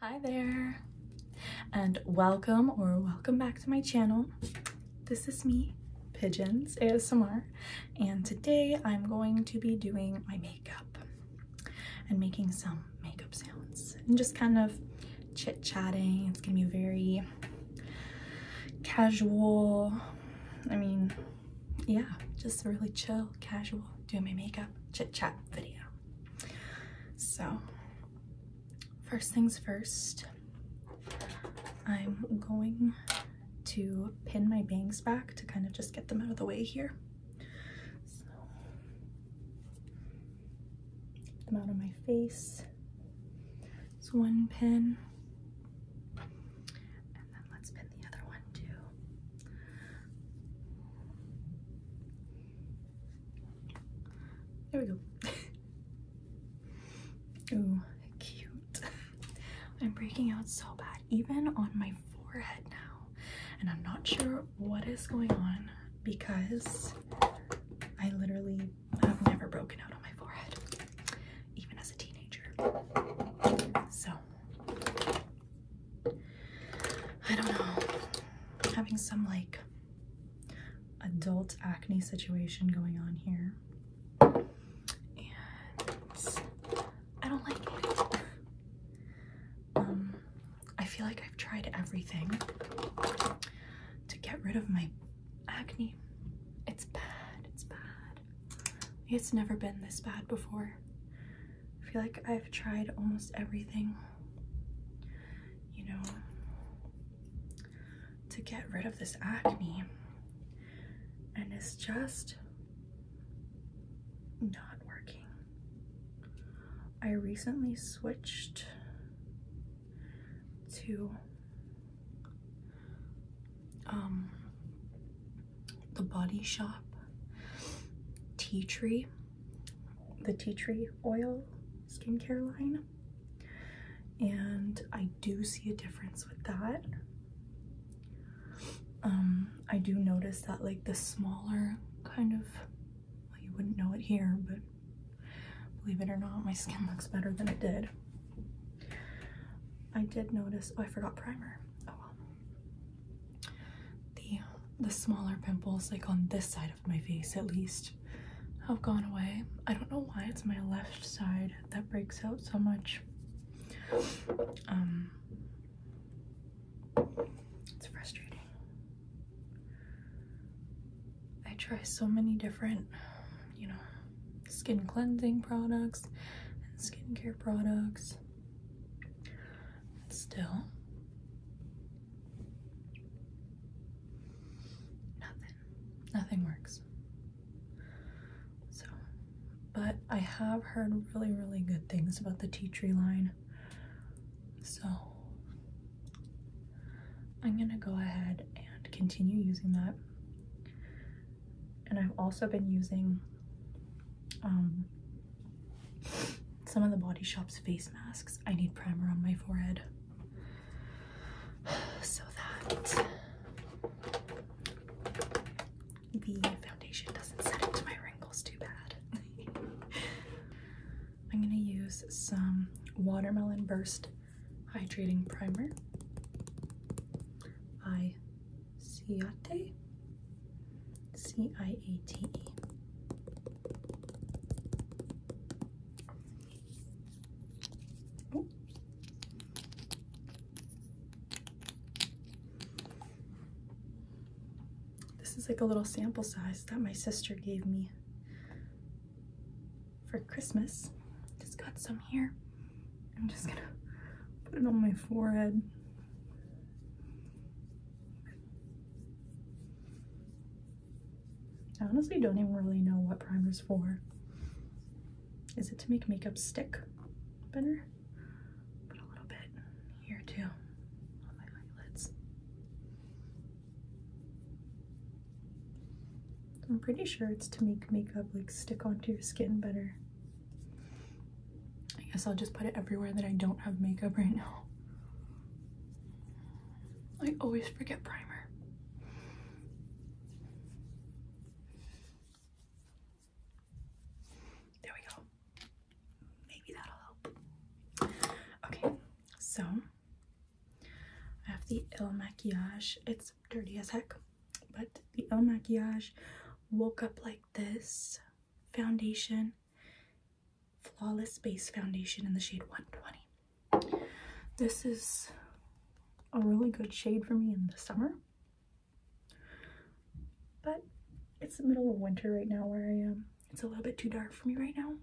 Hi there and welcome or welcome back to my channel. This is me, Pigeons ASMR, and today I'm going to be doing my makeup and making some makeup sounds and just kind of chit-chatting. It's gonna be very casual. I mean, yeah, just really chill, casual, doing my makeup chit-chat video. So, first things first, I'm going to pin my bangs back to kind of just get them out of the way here. So, get them out of my face. It's one pin. And then let's pin the other one too. There we go. oh, cute. I'm breaking out so bad, even on my forehead now. And I'm not sure what is going on because I literally have never broken out on my forehead, even as a teenager. So I don't know, having some like adult acne situation going on here. And I don't like it. Um, I feel like I've tried everything to get rid of my acne. It's bad, it's bad. It's never been this bad before. I feel like I've tried almost everything, you know, to get rid of this acne. And it's just not working. I recently switched to um, the Body Shop tea tree, the tea tree oil skincare line. And I do see a difference with that. Um, I do notice that like the smaller kind of, you wouldn't know it here, but believe it or not, my skin looks better than it did. I did notice, oh, I forgot primer. Oh well. The, the smaller pimples like on this side my face at least have gone away. I don't know why it's my left side that breaks out so much. Um, it's frustrating. I try so many different, you know, skin cleansing products and skincare products. And still, Nothing. Nothing works. So, but I have heard really, really good things about the tea tree line. So, I'm gonna go ahead and continue using that. And I've also been using um, some of the Body Shop's face masks. I need primer on my forehead. So that the foundation doesn't set into my wrinkles too bad. I'm gonna use some Watermelon Burst Hydrating Primer by Ciate. C-I-A-T-E. This is like a little sample size that my sister gave me for Christmas. Just got some here. I'm just gonna put it on my forehead. I honestly don't even really know what primer is for. Is it to make makeup stick better? Put a little bit here too on my eyelids. I'm pretty sure it's to make makeup like stick onto your skin better. I guess I'll just put it everywhere that I don't have makeup right now. I always forget primer. There we go. Maybe that'll help. Okay, so I have the Il Maquillage. It's dirty as heck, but the Il Maquillage Woke Up Like This foundation Flawless Base Foundation in the shade 120. This is a really good shade for me in the summer. But it's the middle of winter right now where I am. It's a little bit too dark for me right now.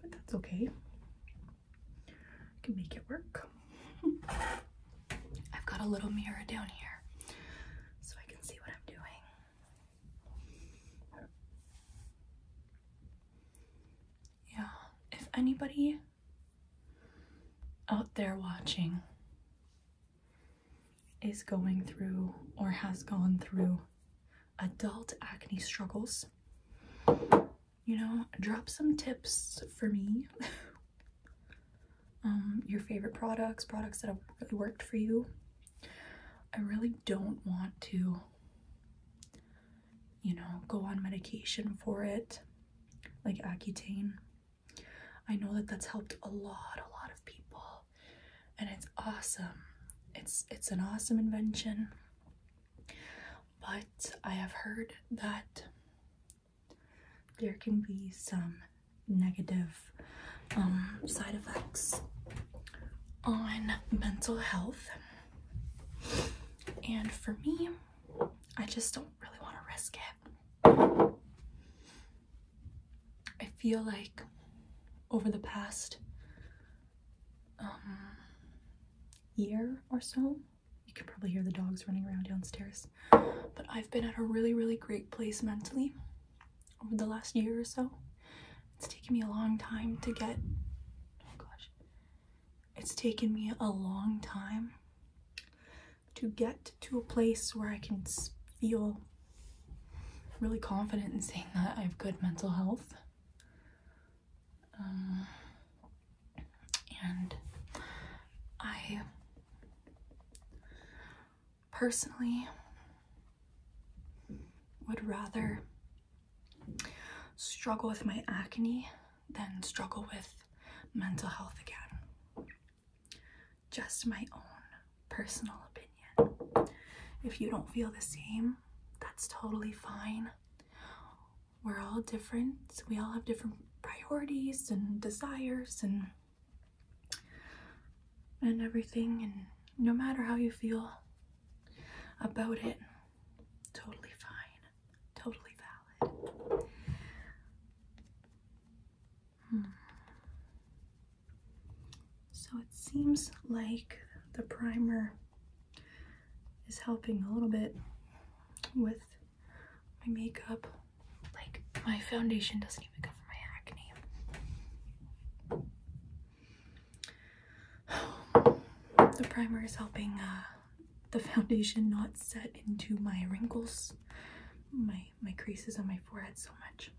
But that's okay. I can make it work. I've got a little mirror down here so I can see what I'm doing. Yeah, if anybody out there watching is going through or has gone through adult acne struggles, you know, drop some tips for me. um, your favorite products, products that have really worked for you. I really don't want to, you know, go on medication for it, like Accutane. I know that that's helped a lot, a lot of people, and it's awesome. It's it's an awesome invention, but I have heard that there can be some negative um, side effects on mental health. And for me, I just don't really want to risk it. I feel like over the past um, year or so, you can probably hear the dogs running around downstairs. But I've been at a really, really great place mentally over the last year or so. It's taken me a long time to get. Oh gosh. It's taken me a long time to get to a place where I can feel really confident in saying that I have good mental health. Um, and I personally would rather struggle with my acne than struggle with mental health again. Just my own personal opinion. If you don't feel the same, that's totally fine. We're all different. We all have different priorities and desires and and everything and no matter how you feel about it totally fine totally valid hmm. so it seems like the primer is helping a little bit with my makeup like, my foundation doesn't even cover my acne. The primer is helping uh, the foundation not set into my wrinkles, my, my creases on my forehead so much.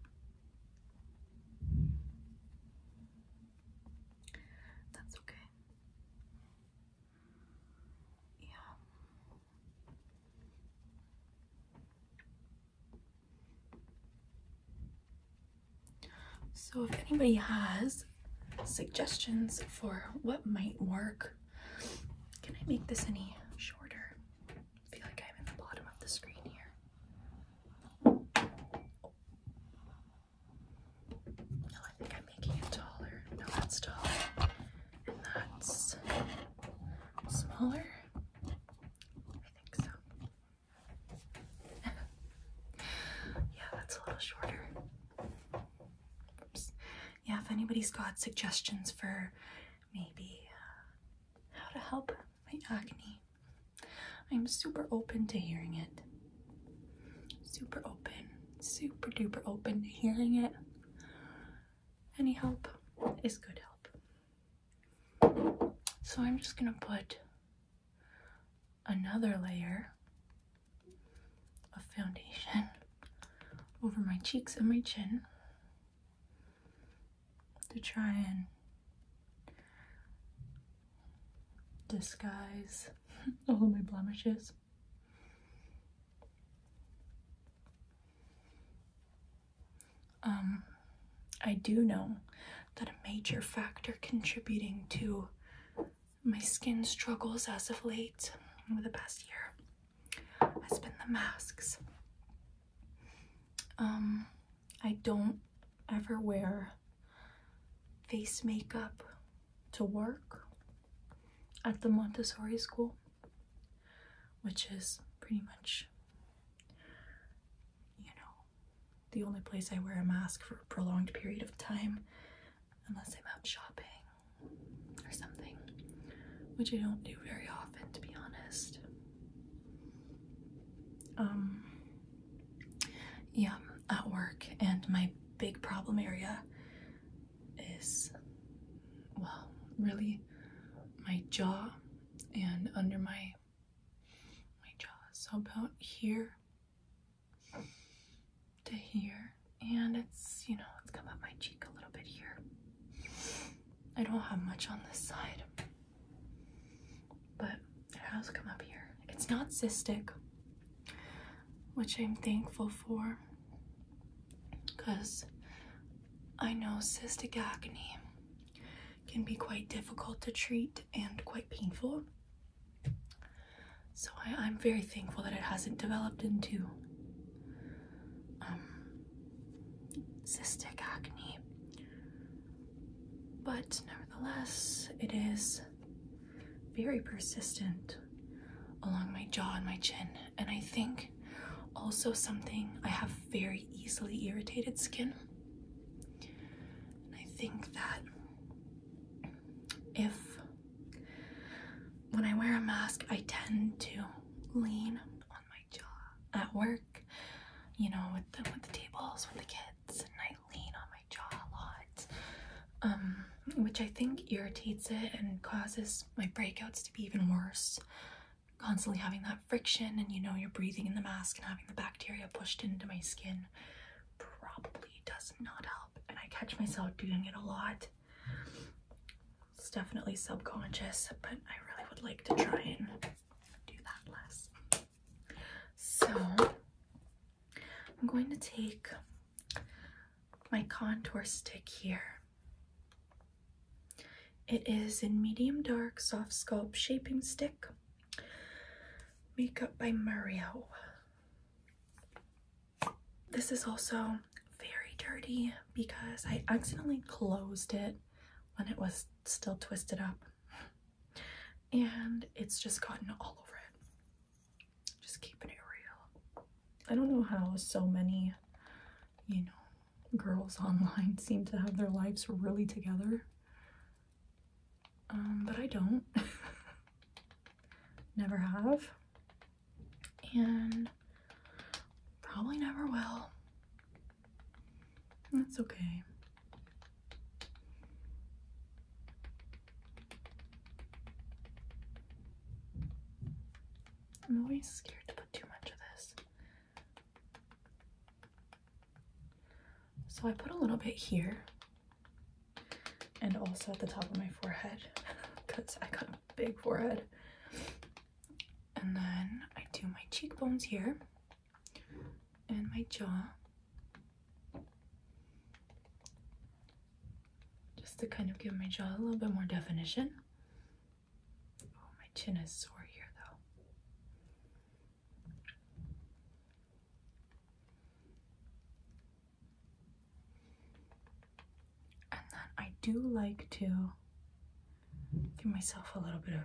That's okay. Yeah. So, if anybody has suggestions for what might work, can I make this any shorter? feel like I'm in the bottom of the screen here. No, I think I'm making it taller. No, that's taller. And that's smaller. I think so. yeah, that's a little shorter. Yeah, if anybody's got suggestions for maybe uh, how to help my acne, I'm super open to hearing it. Super open, super duper open to hearing it. Any help is good help. So I'm just going to put another layer of foundation over my cheeks and my chin to try and disguise all of my blemishes. Um, I do know that a major factor contributing to my skin struggles as of late, over the past year, has been the masks. Um, I don't ever wear face makeup to work at the Montessori school which is pretty much, you know, the only place I wear a mask for a prolonged period of time, unless I'm out shopping or something, which I don't do very often, to be honest. Um, yeah, at work, and my big problem area is, well, really my jaw and under my my jaw. So about here to here, and it's you know it's come up my cheek a little bit here. I don't have much on this side, but it has come up here. It's not cystic, which I'm thankful for because I know cystic acne can be quite difficult to treat and quite painful. So I, am very thankful that it hasn't developed into um, cystic acne. But nevertheless, it is very persistent along my jaw and my chin, and I think also, something I have very easily irritated skin, and I think that if when I wear a mask, I tend to lean on my jaw at work, you know, with the, with the tables, with the kids, and I lean on my jaw a lot, um, which I think irritates it and causes my breakouts to be even worse constantly having that friction and you know you're breathing in the mask and having the bacteria pushed into my skin probably does not help and I catch myself doing it a lot. It's definitely subconscious but I really would like to try and do that less. So I'm going to take my contour stick here it is in medium dark soft sculpt shaping stick. Makeup by Mario. This is also very dirty because I accidentally closed it when it was still twisted up. And it's just gotten all over it. Just keeping it real. I don't know how so many, you know, girls online seem to have their lives really together. Um, but I don't. never have. And probably never will. That's okay. I'm always scared to put too much of this so I put a little bit here and also at the top of my forehead because I got a big forehead. And then I do my cheekbones here and my jaw. Just to kind of give my jaw a little bit more definition. Oh, my chin is sore here though. And then I do like to give myself a little bit of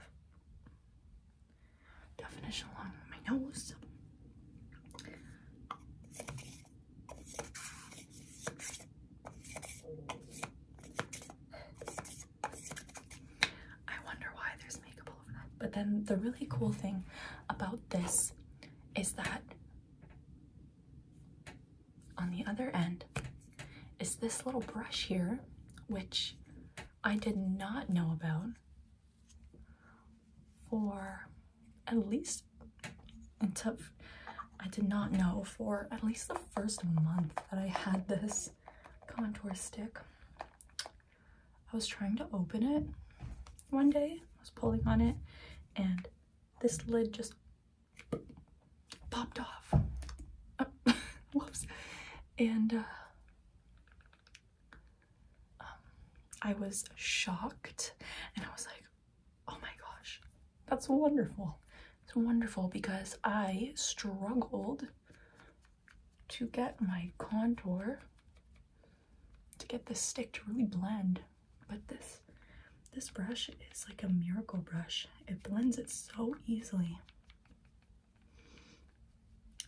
definition along my nose. I wonder why there's makeup all over that. But then the really cool thing about this is that on the other end is this little brush here, which I did not know about for at least until I did not know for at least the first month that I had this contour stick. I was trying to open it one day, I was pulling on it, and this lid just popped off. whoops. And uh, um, I was shocked, and I was like, oh my gosh, that's wonderful. It's wonderful because I struggled to get my contour to get this stick to really blend but this this brush is like a miracle brush it blends it so easily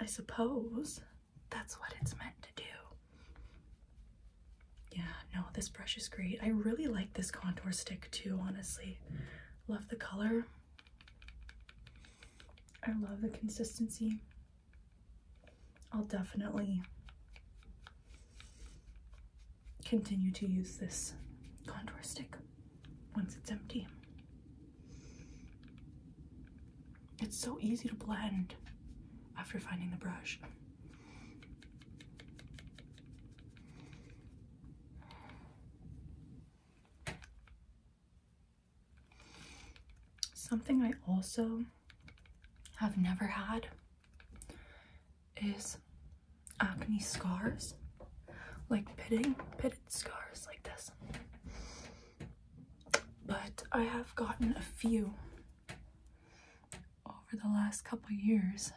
i suppose that's what it's meant to do yeah no this brush is great i really like this contour stick too honestly love the color I love the consistency. I'll definitely continue to use this contour stick once it's empty. It's so easy to blend after finding the brush. Something I also have never had is acne scars, like pitting, pitted scars like this. But I have gotten a few over the last couple years.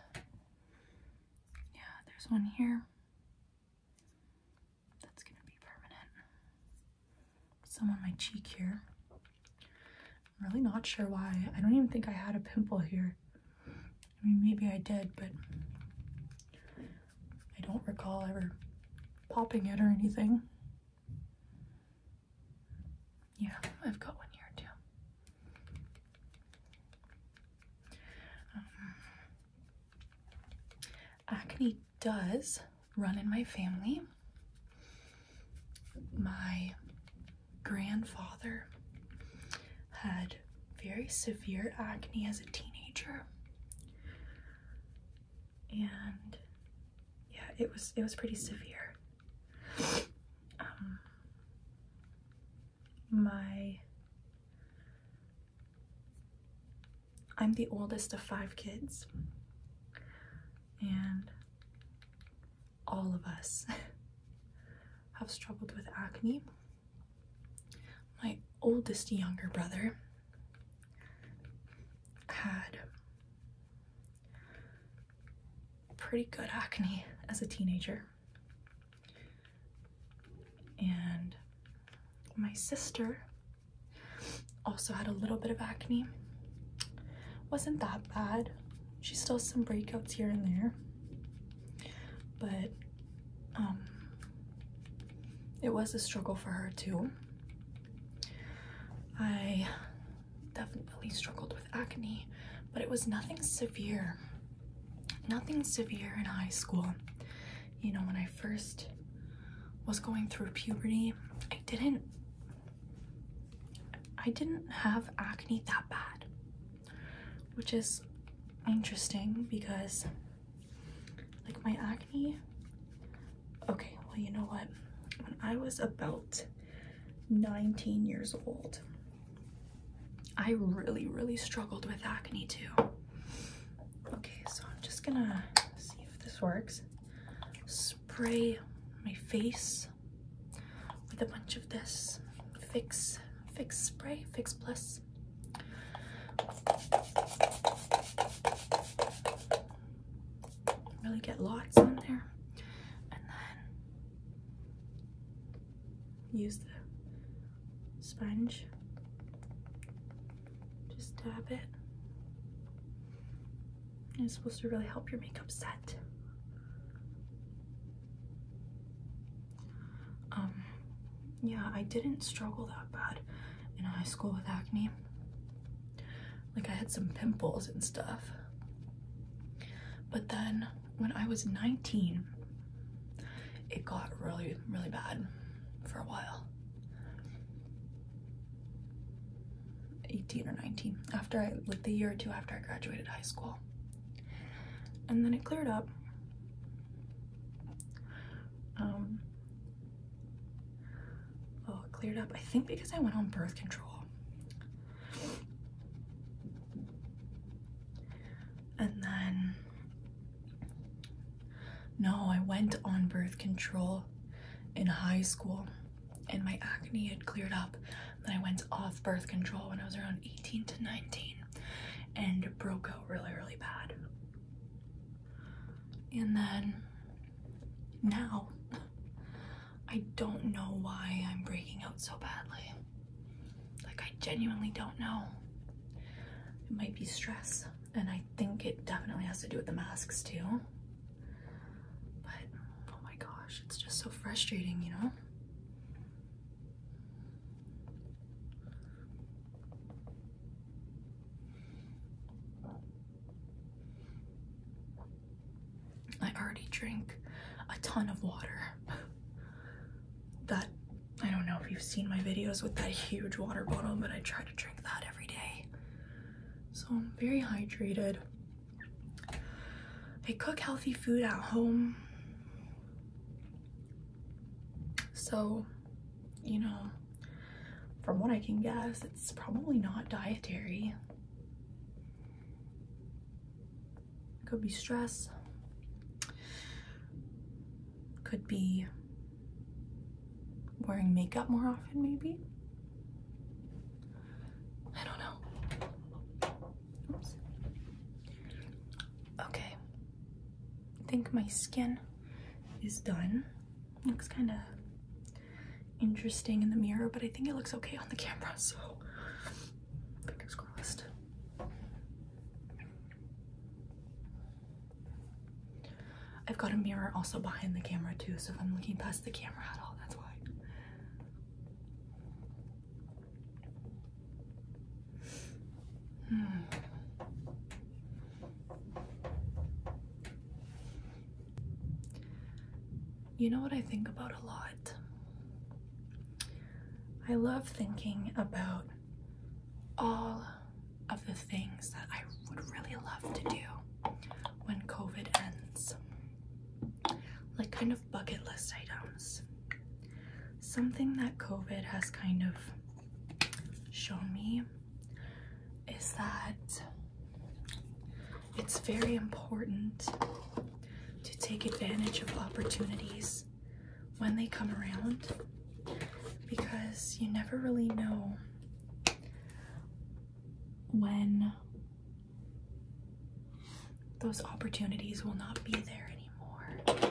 Yeah, there's one here. That's gonna be permanent. Some on my cheek here. I'm really not sure why. I don't even think I had a pimple here. I mean, maybe I did, but I don't recall ever popping it or anything. Yeah, I've got one here too. Um, Acne does run in my family. My grandfather had very severe acne as a teenager. And yeah, it was it was pretty severe. Um, my I'm the oldest of five kids, and all of us have struggled with acne. My oldest younger brother had pretty good acne as a teenager. And my sister also had a little bit of acne. Wasn't that bad. She still has some breakouts here and there. But um, it was a struggle for her too. I definitely struggled with acne, but it was nothing severe nothing severe in high school. You know, when I first was going through puberty, I didn't I didn't have acne that bad. Which is interesting because like my acne Okay, well, you know what? When I was about 19 years old, I really, really struggled with acne too. Okay, so I'm just gonna see if this works. Spray my face with a bunch of this fix fix spray, fix plus. Really get lots on there. And then use the sponge. Just dab it. it's supposed to really help your makeup set. Um, yeah, I didn't struggle that bad in high school with acne. Like I had some pimples and stuff. But then when I was 19, it got really, really bad for a while. 18 or 19 after I like the year or two after I graduated high school and then it cleared up um, oh cleared up I think because I went on birth control and then no, I went on birth control in high school and my acne had cleared up. Then I went off birth control when I was around 18 to 19 and broke out really, really bad. And then now, I don't know why I'm breaking out so badly. Like, I genuinely don't know. It might be stress and I think it definitely has to do with the masks too. But oh my gosh, it's just so frustrating, you know? I already drink a ton of water. that I don't know if you've seen my videos with that huge water bottle, but I try to drink that every day. So I'm very hydrated. I cook healthy food at home. So, you know, from what I can guess, it's probably not dietary. Could be stress could be wearing makeup more often maybe I don't know okay I think my skin is done looks kind of interesting in the mirror but I think it looks okay on the camera so fingers crossed I've got a mirror also behind the camera too, so if I'm looking past the camera at all, that's why. Hmm. You know what I think about a lot? I love thinking about all of the things that I would really love to do when COVID ends. Like kind of bucket list items. Something that COVID has kind of shown me is that it's very important to take advantage of opportunities when they come around because you never really know when those opportunities will not be there anymore.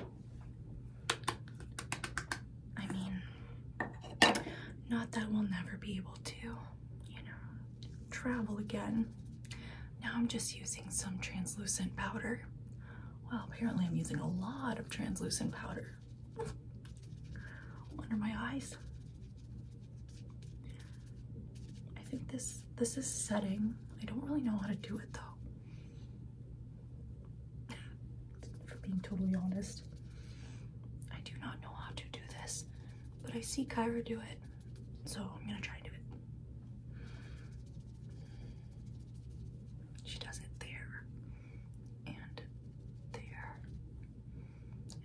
I mean, not that we'll never be able to, you know, travel again. Now I'm just using some translucent powder. Well, apparently I'm using a lot of translucent powder under my eyes. I think this this is setting. I don't really know how to do it though. For being totally honest. I do not know how to do this, but I see Kyra do it. So I'm gonna try to do it. She does it there and there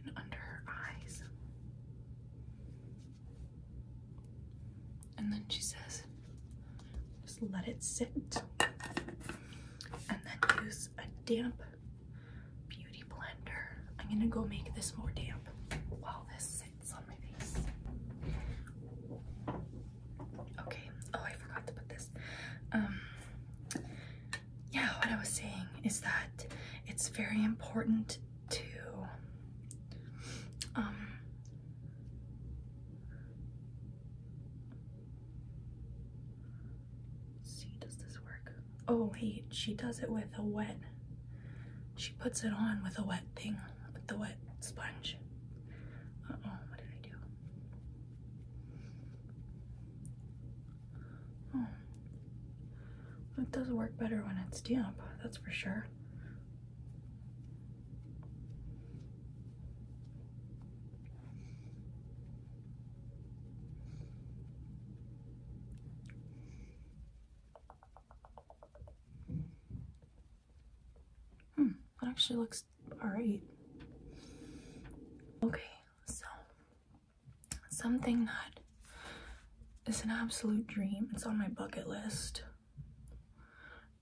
and under her eyes. And then she says, just let it sit. And then use a damp beauty blender. I'm gonna go make this more damp while this sits on my face. Okay. Oh, I forgot to put this. Um, yeah, what I was saying is that it's very important to um, see does this work oh wait she does it with a wet she puts it on with a wet thing with the wet sponge uh oh what did I do Hmm. It does work better when it's damp, that's for sure. Hmm, that actually looks all right. Okay, so something that is an absolute dream, it's on my bucket list,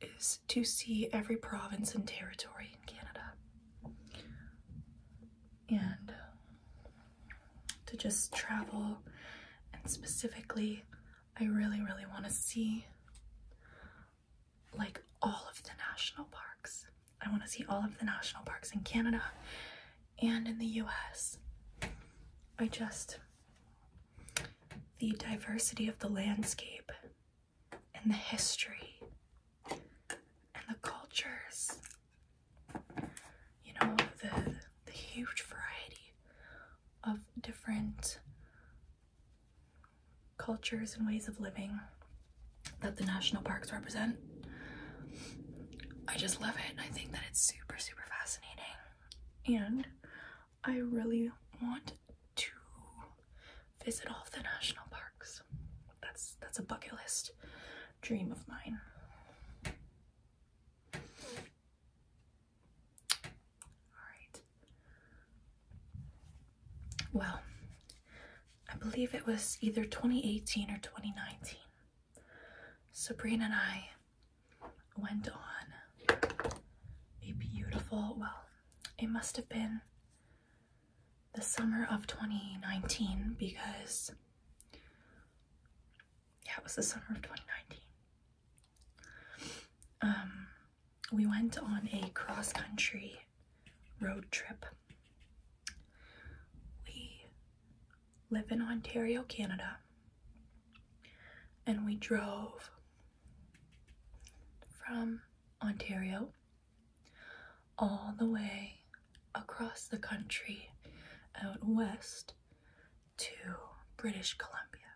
is to see every province and territory in Canada. And to just travel, and specifically, I really, really want to see like all of the national parks. I want to see all of the national parks in Canada and in the US. I just, the diversity of the landscape and the history and the cultures, you know, the, the huge variety of different cultures and ways of living that the national parks represent. I just love it. I think that it's super, super fascinating. And I really want to visit all of the national parks. That's that's a bucket list dream of mine. Alright. Well, I believe it was either 2018 or 2019. Sabrina and I went on a beautiful, well, it must have been the summer of 2019 because, yeah, it was the summer of 2019. Um, we went on a cross country road trip. We live in Ontario, Canada, and we drove from Ontario all the way across the country out west to British Columbia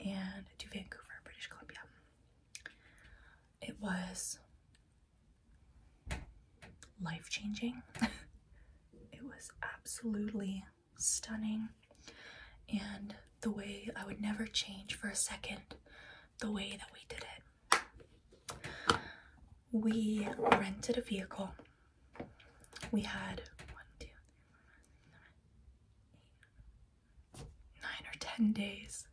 and to Vancouver, British Columbia. It was life changing. it was absolutely stunning. And the way I would never change for a second the way that we did it. We rented a vehicle. We had one, two, three, four, five, six, seven, eight, nine or ten days.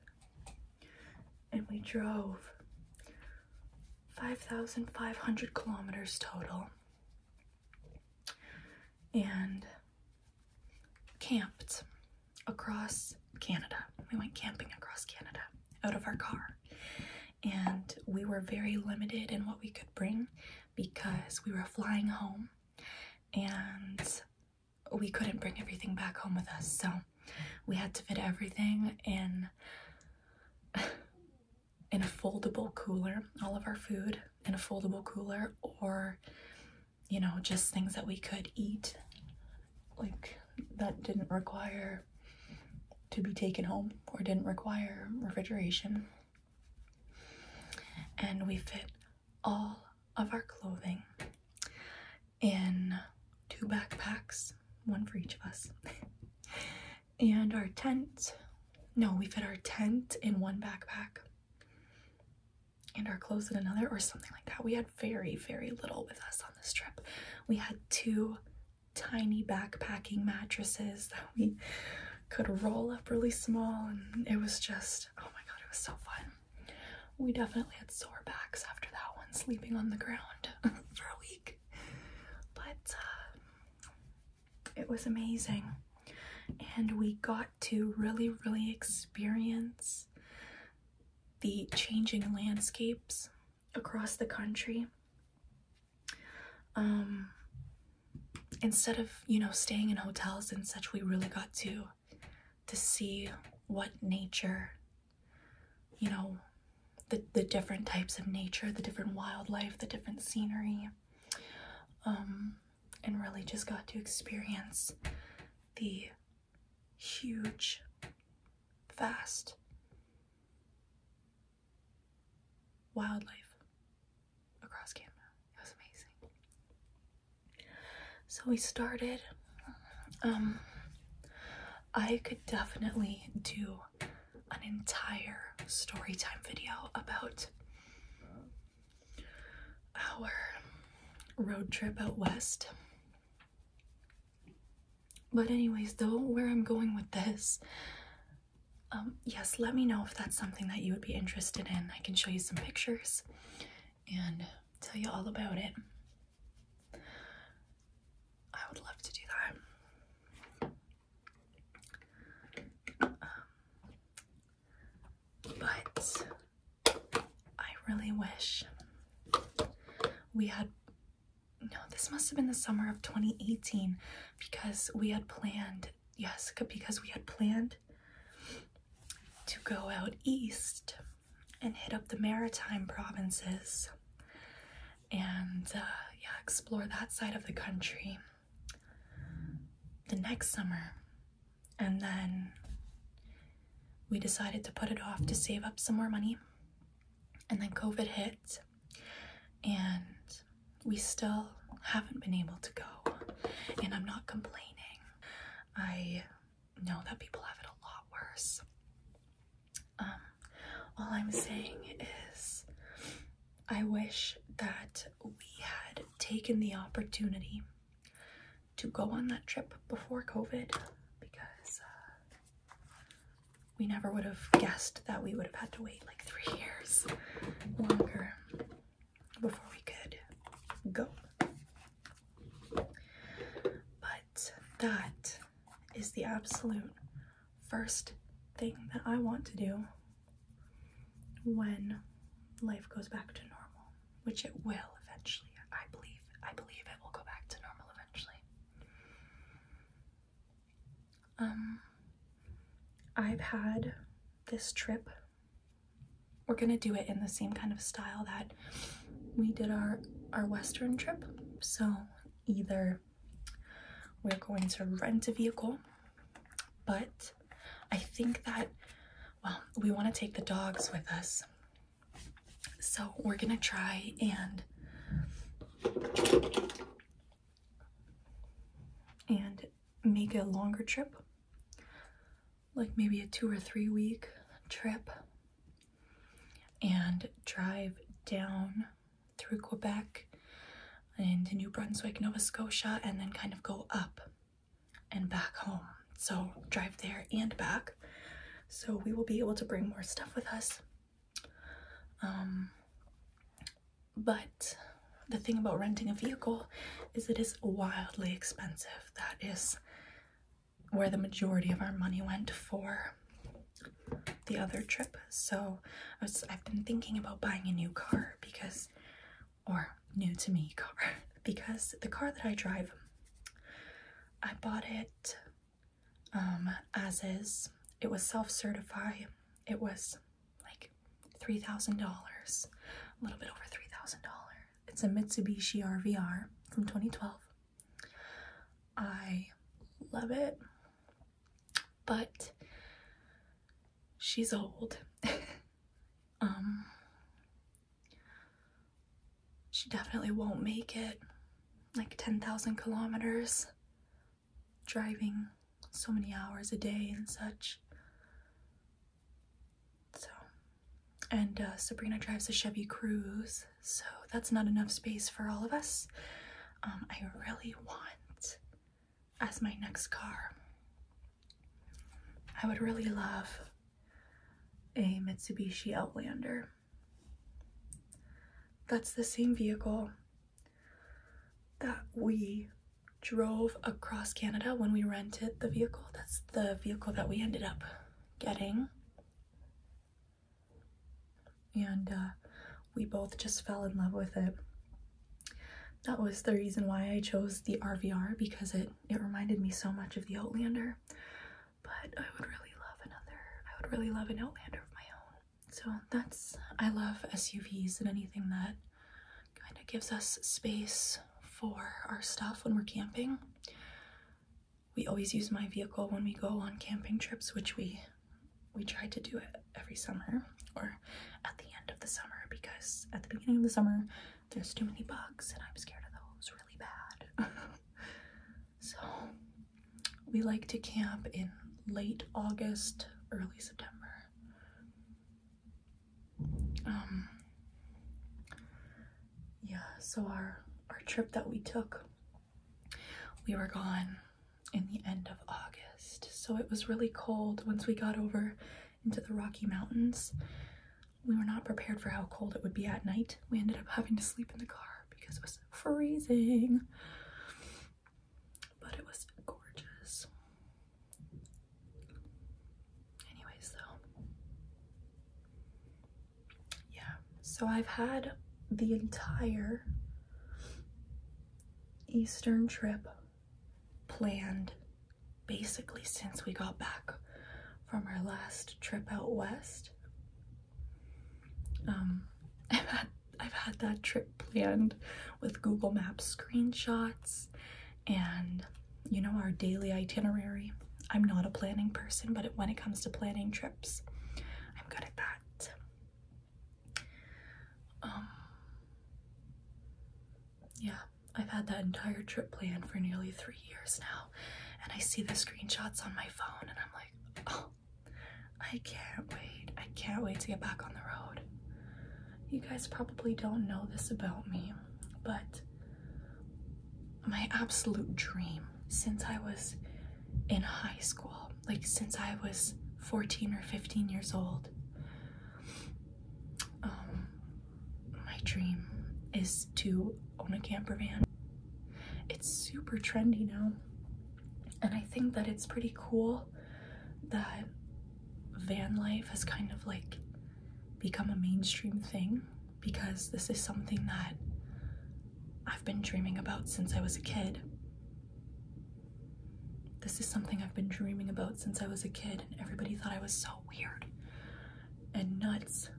And we drove 5,500 kilometers total and camped across Canada. We went camping across Canada out of our car. And we were very limited in what we could bring because we were flying home and we couldn't bring everything back home with us, so we had to fit everything in in a foldable cooler, all of our food in a foldable cooler or you know, just things that we could eat like that didn't require to be taken home or didn't require refrigeration. And we fit all of our clothing in two backpacks, one for each of us, and our tent. No, we fit our tent in one backpack and our clothes in another, or something like that. We had very, very little with us on this trip. We had two tiny backpacking mattresses that we could roll up really small, and it was just oh my god, it was so fun. We definitely had sore backs after that one, sleeping on the ground for a week. But uh, it was amazing. And we got to really, really experience the changing landscapes across the country. Um, instead of, you know, staying in hotels and such, we really got to to see what nature, you know, the, the different types of nature, the different wildlife, the different scenery, um, and really just got to experience the huge, vast wildlife across Canada. It was amazing. So we started. Um, I could definitely do an entire story time video about our road trip out west. But anyways, though, where I'm going with this, um, yes, let me know if that's something that you would be interested in. I can show you some pictures and tell you all about it. I would love to do that. Um, but I really wish we had no, this must have been the summer of 2018 because we had planned, yes, because we had planned to go out east and hit up the maritime provinces and uh, yeah, explore that side of the country the next summer. And then we decided to put it off to save up some more money. And then COVID hit, and we still haven't been able to go. And I'm not complaining. I know that people have it a lot worse. Um, all I'm saying is, I wish that we had taken the opportunity to go on that trip before COVID because uh, we never would have guessed that we would have had to wait like three years longer before we could go. But that is the absolute first thing that I want to do when life goes back to normal, which it will eventually. I believe I believe it will go back to normal eventually. Um I've had this trip we're gonna do it in the same kind of style that we did our our western trip so either we're going to rent a vehicle but i think that well we want to take the dogs with us so we're gonna try and and make a longer trip like maybe a two or three week trip and drive down through Quebec into New Brunswick, Nova Scotia, and then kind of go up and back home. So drive there and back. So we will be able to bring more stuff with us. Um, but the thing about renting a vehicle is it is wildly expensive. That is where the majority of our money went for the other trip. So I was, I've been thinking about buying a new car because, or new to me car, because the car that I drive, I bought it um, as is. It was self-certify. It was like $3,000, a little bit over $3,000. It's a Mitsubishi RVR from 2012. I love it, but she's old. um, she definitely won't make it like 10,000 kilometers driving so many hours a day and such. So and uh, Sabrina drives a Chevy Cruise, so that's not enough space for all of us. Um, I really want, as my next car, I would really love a Mitsubishi Outlander. That's the same vehicle that we drove across Canada when we rented the vehicle. That's the vehicle that we ended up getting and uh, we both just fell in love with it. That was the reason why I chose the RVR because it, it reminded me so much of the Outlander. But I would really love another, I would really love an Outlander of my own. So that's, I love SUVs and anything that kind of gives us space for our stuff when we're camping we always use my vehicle when we go on camping trips, which we we try to do it every summer or at the end of the summer because at the beginning of the summer there's too many bugs and I'm scared of those really bad. so we like to camp in late August, early September. Um, yeah, so our our trip that we took, we were gone in the end of August. So it was really cold once we got over into the Rocky Mountains. We were not prepared for how cold it would be at night. We ended up having to sleep in the car because it was freezing. But it was gorgeous. Anyways, though, yeah, so I've had the entire Eastern trip planned basically since we got back from our last trip out west. Um, I've had, I've had that trip planned with Google Maps screenshots and you know, our daily itinerary. I'm not a planning person, but when it comes to planning trips, I'm good at that. Um, yeah, I've had that entire trip planned for nearly three years now, and I see the screenshots on my phone, and I'm like, oh, I can't wait. I can't wait to get back on the road. You guys probably don't know this about me, but my absolute dream since I was in high school, like since I was 14 or 15 years old. Um, my dream is to own a camper van. It's super trendy now, and I think that it's pretty cool that van life has kind of like become a mainstream thing because this is something that I've been dreaming about since I was a kid. This is something I've been dreaming about since I was a kid, and everybody thought I was so weird and nuts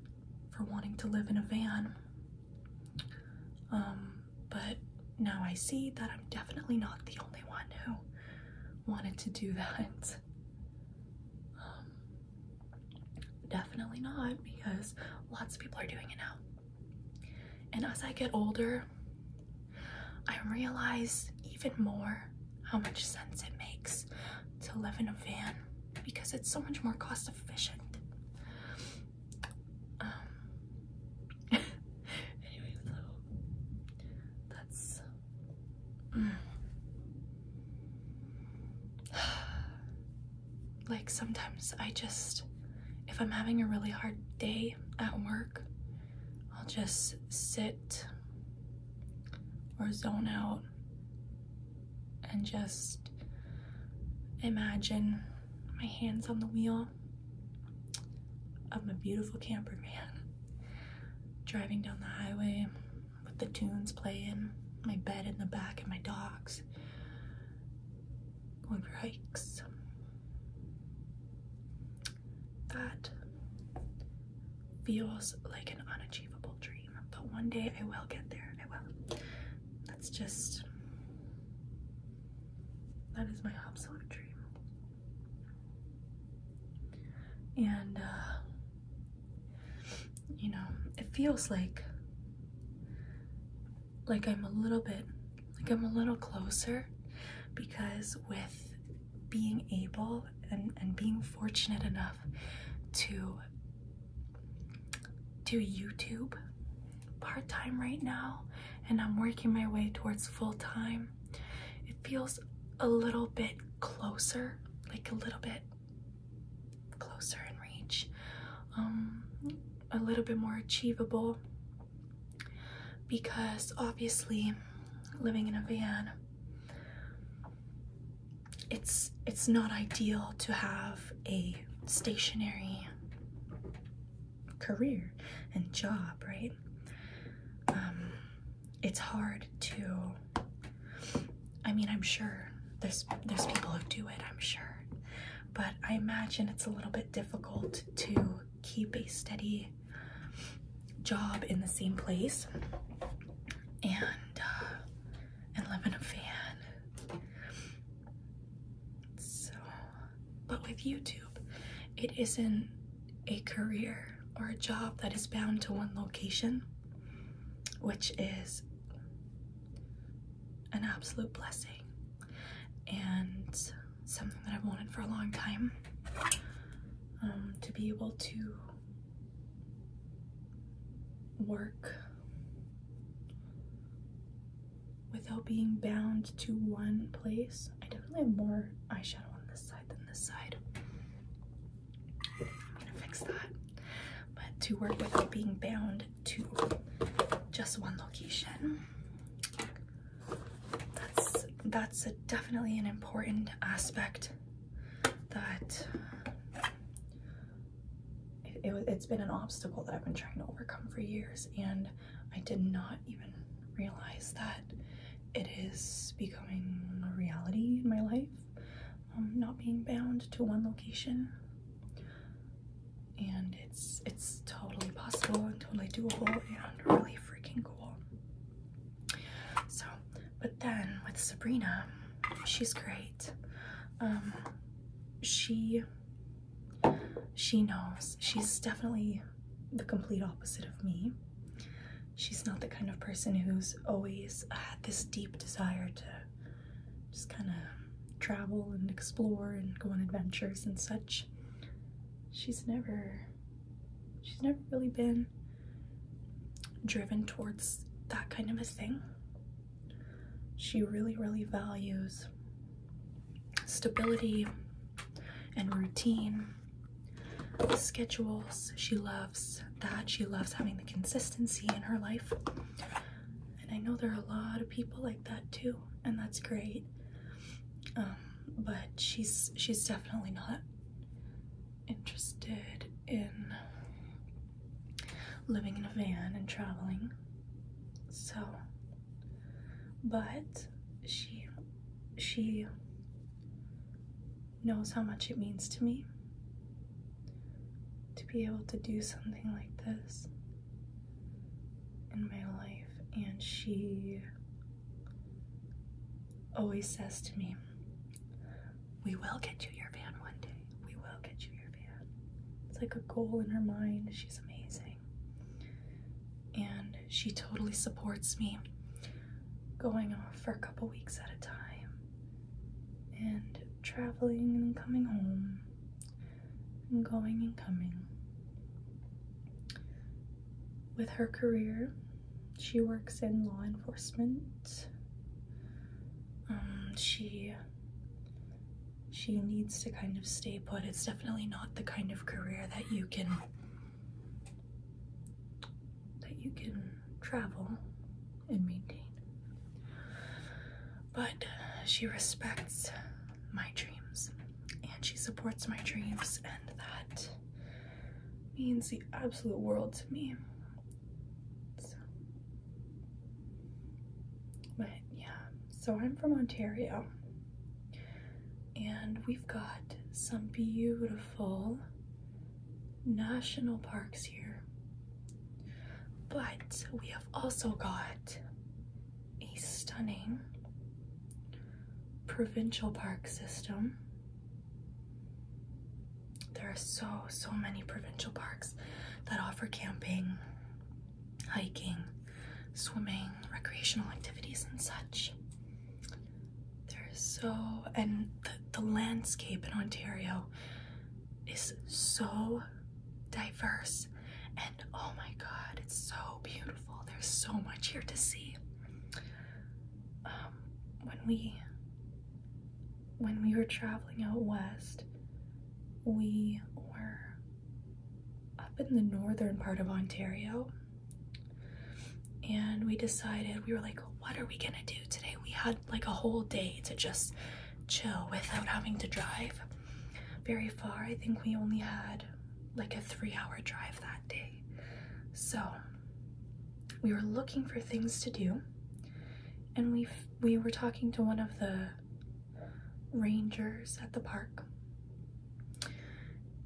for wanting to live in a van. Um, but now I see that I'm definitely not the only one who wanted to do that. Um, Definitely not because lots of people are doing it now. And as I get older, I realize even more how much sense it makes to live in a van because it's so much more cost efficient. Um, anyway, so that's. Mm. like sometimes I just, if I'm having a really hard day at work, I'll just sit or zone out and just imagine my hands on the wheel of my beautiful camper van driving down the highway with the tunes playing, my bed in the back and my dogs going for hikes that feels like an unachievable dream but one day i will get there i will that's just that is my absolute dream and uh you know, it feels like like I'm a little bit like I'm a little closer because with being able and, and being fortunate enough to do YouTube part-time right now and I'm working my way towards full-time it feels a little bit closer like a little bit closer in reach, um, a little bit more achievable because obviously living in a van it's it's not ideal to have a stationary career and job right um, it's hard to I mean, I'm sure there's there's people who do it, I'm sure. But I imagine it's a little bit difficult to keep a steady job in the same place and uh, and live in a van. So, but with YouTube, it isn't a career or a job that is bound to one location, which is an absolute blessing and something that I've wanted for a long time. Um, to be able to work without being bound to one place. I definitely have more eyeshadow on this side than this side. I'm gonna fix that but to work without being bound to just one location. That's that's definitely an important aspect that it, it's been an obstacle that I've been trying to overcome for years and I did not even realize that it is becoming a reality in my life um, not being bound to one location. And it's it's totally possible and totally doable and really freaking cool. So, but then with Sabrina, she's great. Um, she she knows she's definitely the complete opposite of me. She's not the kind of person who's always had this deep desire to just kind of travel and explore and go on adventures and such. She's never she's never really been driven towards that kind of a thing. She really, really values stability and routine, schedules. She loves that. She loves having the consistency in her life and I know there are a lot of people like that too, and that's great. Um, but she's she's definitely not interested in living in a van and traveling. So, but she she knows how much it means to me to be able to do something like this in my life. And she always says to me, We will get you your van one day. We will get you your van. It's like a goal in her mind. She's amazing. And she totally supports me going off for a couple weeks at a time and traveling and coming home and going and coming. With her career, she works in law enforcement. Um, she she needs to kind of stay put. It's definitely not the kind of career that you can that you can travel and maintain but uh, she respects my dreams and she supports my dreams, and that means the absolute world to me. So, but yeah, so I'm from Ontario, and we've got some beautiful national parks here. But we have also got a stunning provincial park system. There are so, so many provincial parks that offer camping, hiking, swimming, recreational activities, and such. There's so, and the, landscape in Ontario is so diverse and oh my god it's so beautiful there's so much here to see um, when we when we were traveling out west we were up in the northern part of ontario and we decided we were like what are we gonna do today we had like a whole day to just chill without having to drive very far. I think we only had like a three hour drive that day. So we were looking for things to do and we we were talking to one of the rangers at the park.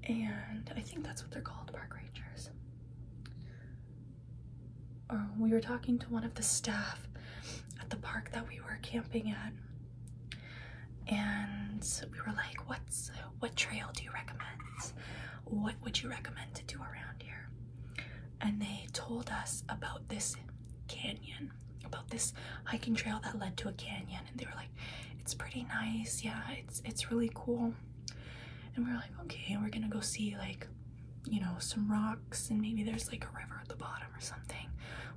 And I think that's what they're called, park rangers or we were talking to one of the staff at the park that we were camping at and we were like what's what trail do you recommend what would you recommend to do around here and they told us about this canyon about this hiking trail that led to a canyon and they were like it's pretty nice yeah it's it's really cool and we we're like okay we're gonna go see like you know, some rocks, and maybe there's like a river at the bottom or something.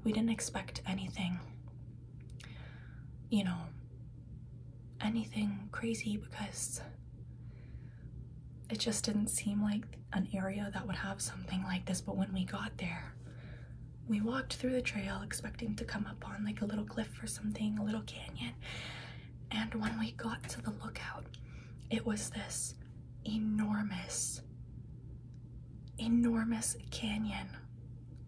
We didn't expect anything, you know, anything crazy because it just didn't seem like an area that would have something like this. But when we got there, we walked through the trail expecting to come up on like a little cliff or something, a little canyon. And when we got to the lookout, it was this enormous enormous canyon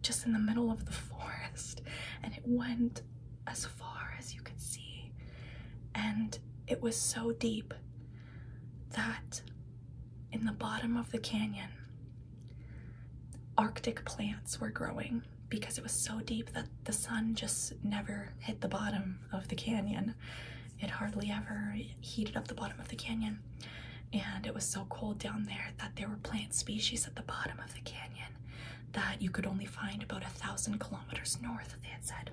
just in the middle of the forest, and it went as far as you could see. And it was so deep that in the bottom of the canyon, Arctic plants were growing because it was so deep that the sun just never hit the bottom of the canyon. It hardly ever heated up the bottom of the canyon. And it was so cold down there that there were plant species at the bottom of the canyon that you could only find about a thousand kilometers north, they had said.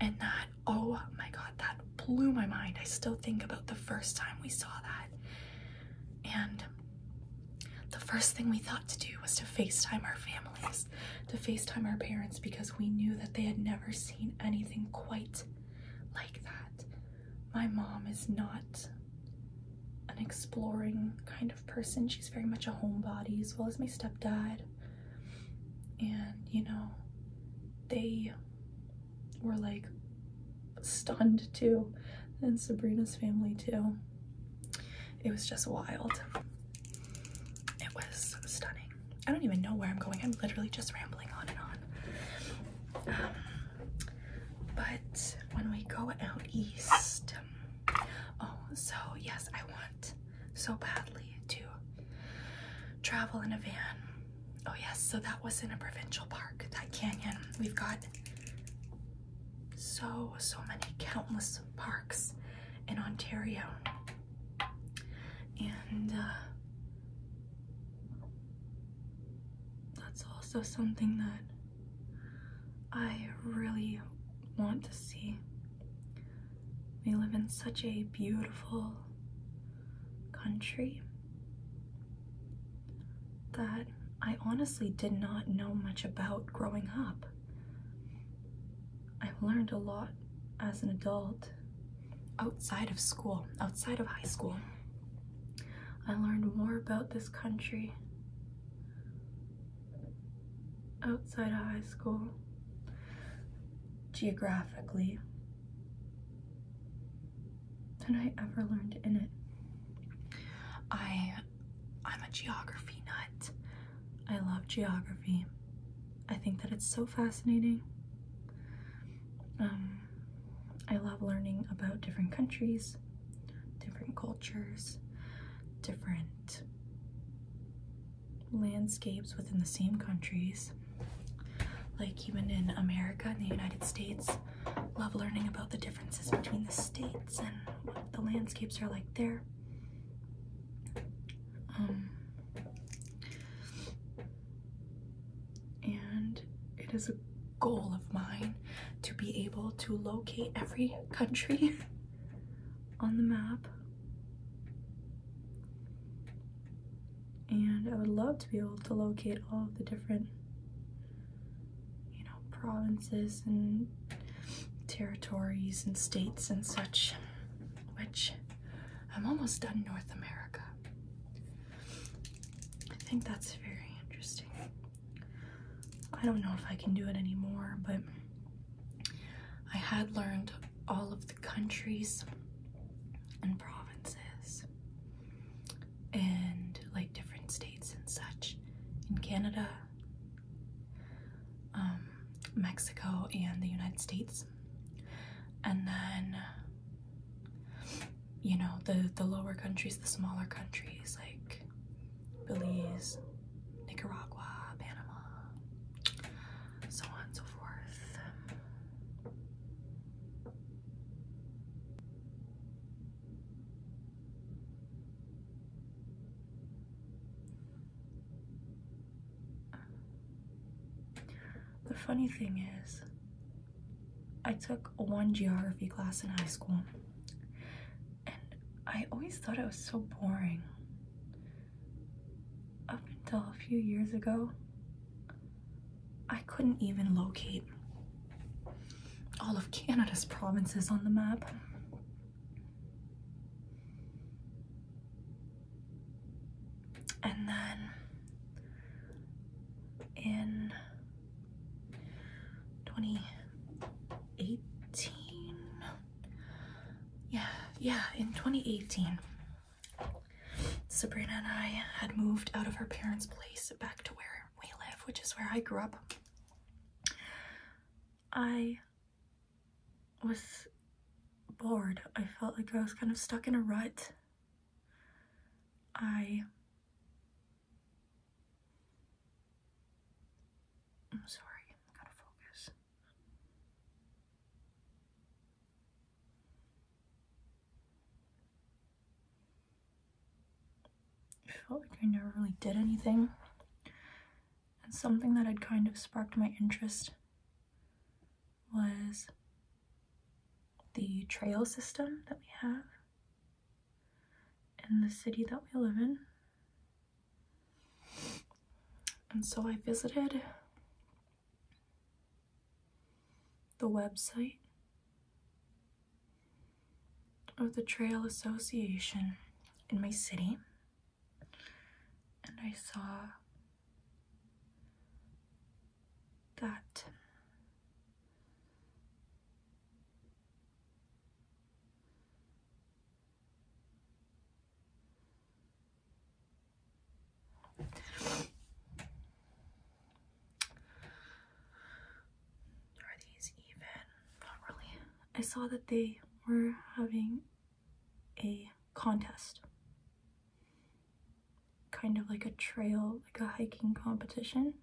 And that, oh my god, that blew my mind. I still think about the first time we saw that. And the first thing we thought to do was to FaceTime our families, to FaceTime our parents because we knew that they had never seen anything quite like that. My mom is not an exploring kind of person. She's very much a homebody, as well as my stepdad. And, you know, they were like stunned too, and Sabrina's family too. It was just wild. It was stunning. I don't even know where I'm going. I'm literally just rambling on and on. Um, but when we go out east, oh, so yes, I want so badly to travel in a van. Oh, yes, so that was in a provincial park, that canyon. We've got so, so many countless parks in Ontario. And uh, that's also something that I really want to see. We live in such a beautiful country that I honestly did not know much about growing up. I've learned a lot as an adult outside of school, outside of high school. I learned more about this country outside of high school, geographically, than I ever learned in it. I, I'm a geography nut. I love geography. I think that it's so fascinating. Um, I love learning about different countries, different cultures, different landscapes within the same countries. Like even in America, in the United States, love learning about the differences between the states and what the landscapes are like there. Um, and it is a goal of mine to be able to locate every country on the map. And I would love to be able to locate all the different, you know, provinces and territories and states and such, which I'm almost done North America. I think that's very interesting. I don't know if I can do it anymore, but I had learned all of the countries and provinces and like different states and such in Canada, um, Mexico, and the United States and then you know the the lower countries the smaller countries like Belize Nicaragua Panama so on and so forth the funny thing is, I took one geography class in high school, and I always thought it was so boring. Up until a few years ago, I couldn't even locate all of Canada's provinces on the map. And then in 2018, yeah, yeah, in 2018, Sabrina and I had moved out of her parents' place back to where we live, which is where I grew up. I was bored. I felt like I was kind of stuck in a rut I I'm sorry, I'm gonna focus. I felt like I never really did anything. And something that had kind of sparked my interest was the trail system that we have in the city that we live in. And so I visited the website of the Trail Association in my city and I saw that are these even? Not really. I saw that they were having a contest kind of like a trail, like a hiking competition.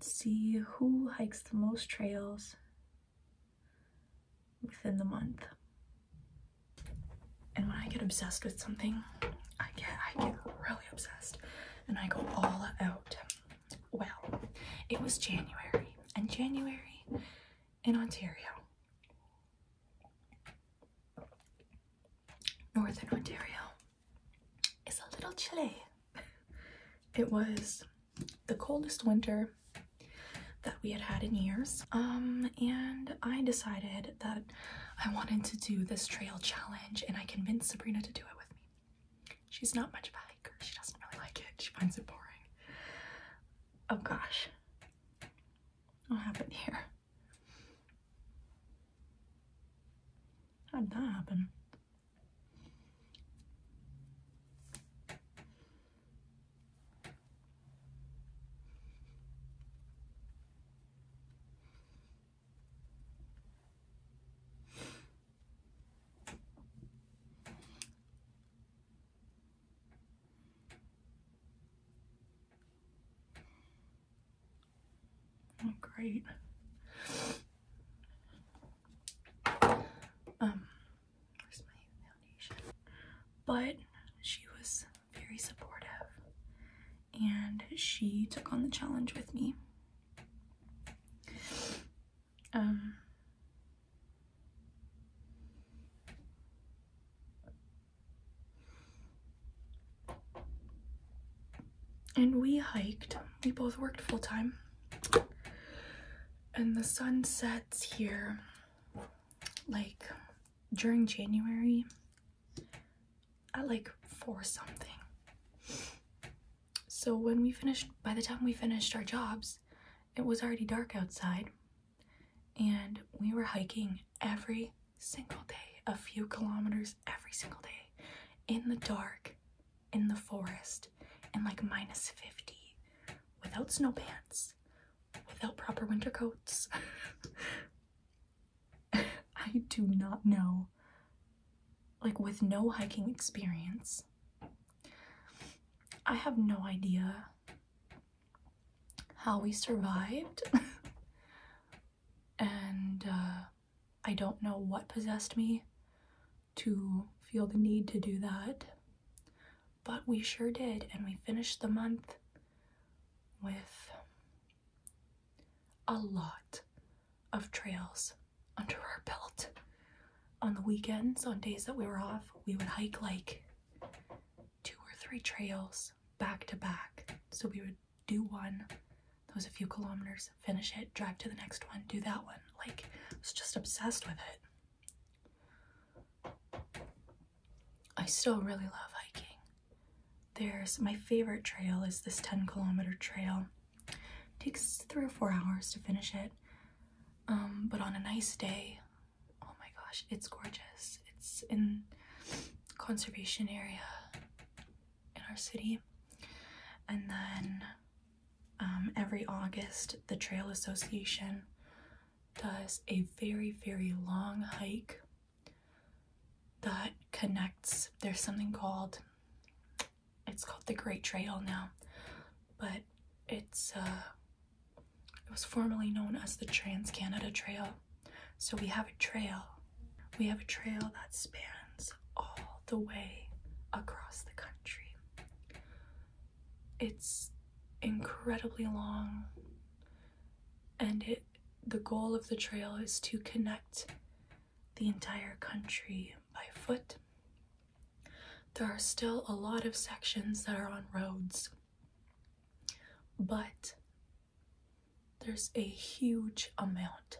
See who hikes the most trails within the month. And when I get obsessed with something, I get I get really obsessed and I go all out. Well, it was January and January in Ontario Northern Ontario is a little chilly. It was the coldest winter that we had had in years. Um, and I decided that I wanted to do this trail challenge and I convinced Sabrina to do it with me. She's not much of a hiker. She doesn't really like it. She finds it boring. Oh gosh. What happened here? How did that happen? Oh, great. Um, where's my foundation? But she was very supportive and she took on the challenge with me. Um, and we hiked. We both worked full time. And the sun sets here like during January at like four something. So when we finished, by the time we finished our jobs, it was already dark outside and we were hiking every single day, a few kilometers every single day, in the dark, in the forest, in like minus 50, without snow pants, without proper winter coats. I do not know. Like, with no hiking experience, I have no idea how we survived. and uh, I don't know what possessed me to feel the need to do that, but we sure did. And we finished the month with a lot of trails under our belt. On the weekends, on days that we were off, we would hike like two or three trails back to back. So we would do one, those a few kilometers, finish it, drive to the next one, do that one. Like, I was just obsessed with it. I still really love hiking. There's my favorite trail is this 10 kilometer trail. takes three or four hours to finish it. Um, but on a nice day, oh my gosh, it's gorgeous. It's in conservation area in our city. And then um, every August, the Trail Association does a very, very long hike that connects. There's something called, it's called the Great Trail now, but it's, uh, it was formerly known as the Trans Canada Trail. So we have a trail. We have a trail that spans all the way across the country. It's incredibly long and the goal of the trail is to connect the entire country by foot. There are still a lot of sections that are on roads, but there's a huge amount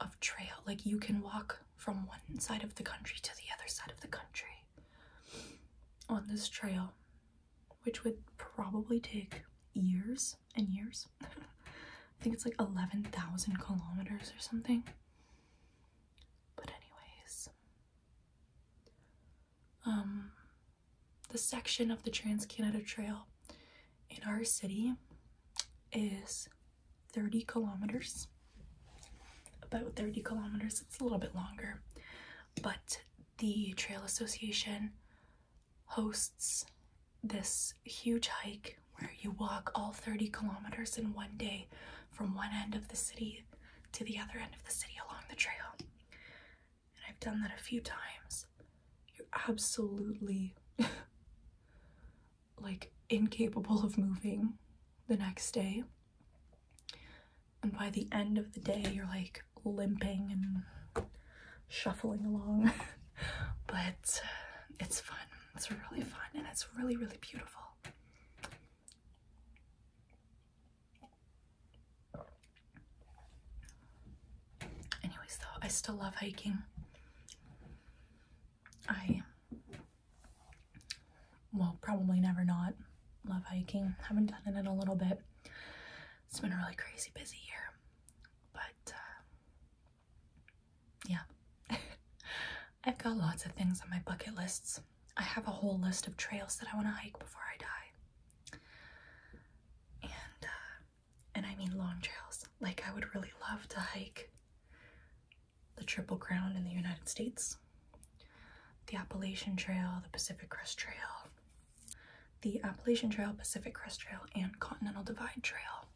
of trail. Like you can walk from one side of the country to the other side of the country on this trail, which would probably take years and years. I think it's like 11,000 kilometers or something. But anyways, um, the section of the Trans Canada Trail in our city is 30 kilometers. About 30 kilometers, it's a little bit longer, but the Trail Association hosts this huge hike where you walk all 30 kilometers in one day from one end of the city to the other end of the city along the trail and I've done that a few times, you're absolutely like incapable of moving the next day. And by the end of the day, you're like limping and shuffling along. but uh, it's fun. It's really fun and it's really, really beautiful. Anyways, though, I still love hiking. I will probably never not love hiking. Haven't done it in a little bit. It's been a really crazy busy year, but uh, yeah, I've got lots of things on my bucket lists. I have a whole list of trails that I want to hike before I die. And uh, and I mean long trails. Like, I would really love to hike the Triple Crown in the United States, the Appalachian Trail, the Pacific Crest Trail, the Appalachian Trail, Pacific Crest Trail, and Continental Divide Trail.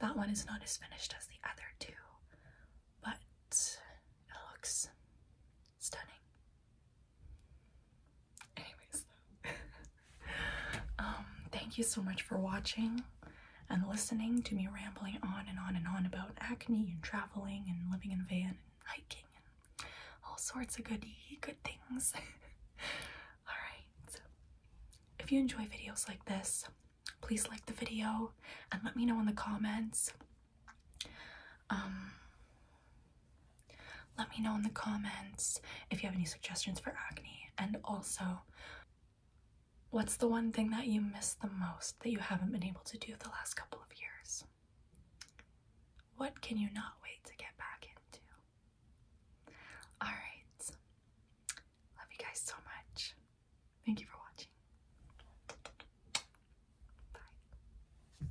That one is not as finished as the other two, but it looks stunning. Anyways, um, thank you so much for watching and listening to me rambling on and on and on about acne and traveling and living in a van and hiking and all sorts of good good things. Alright, if you enjoy videos like this, please like the video and let me know in the comments. Um, let me know in the comments if you have any suggestions for acne and also what's the one thing that you miss the most that you haven't been able to do the last couple of years? What can you not wait to get back into? Alright. Love you guys so much. Thank you for watching. Bye.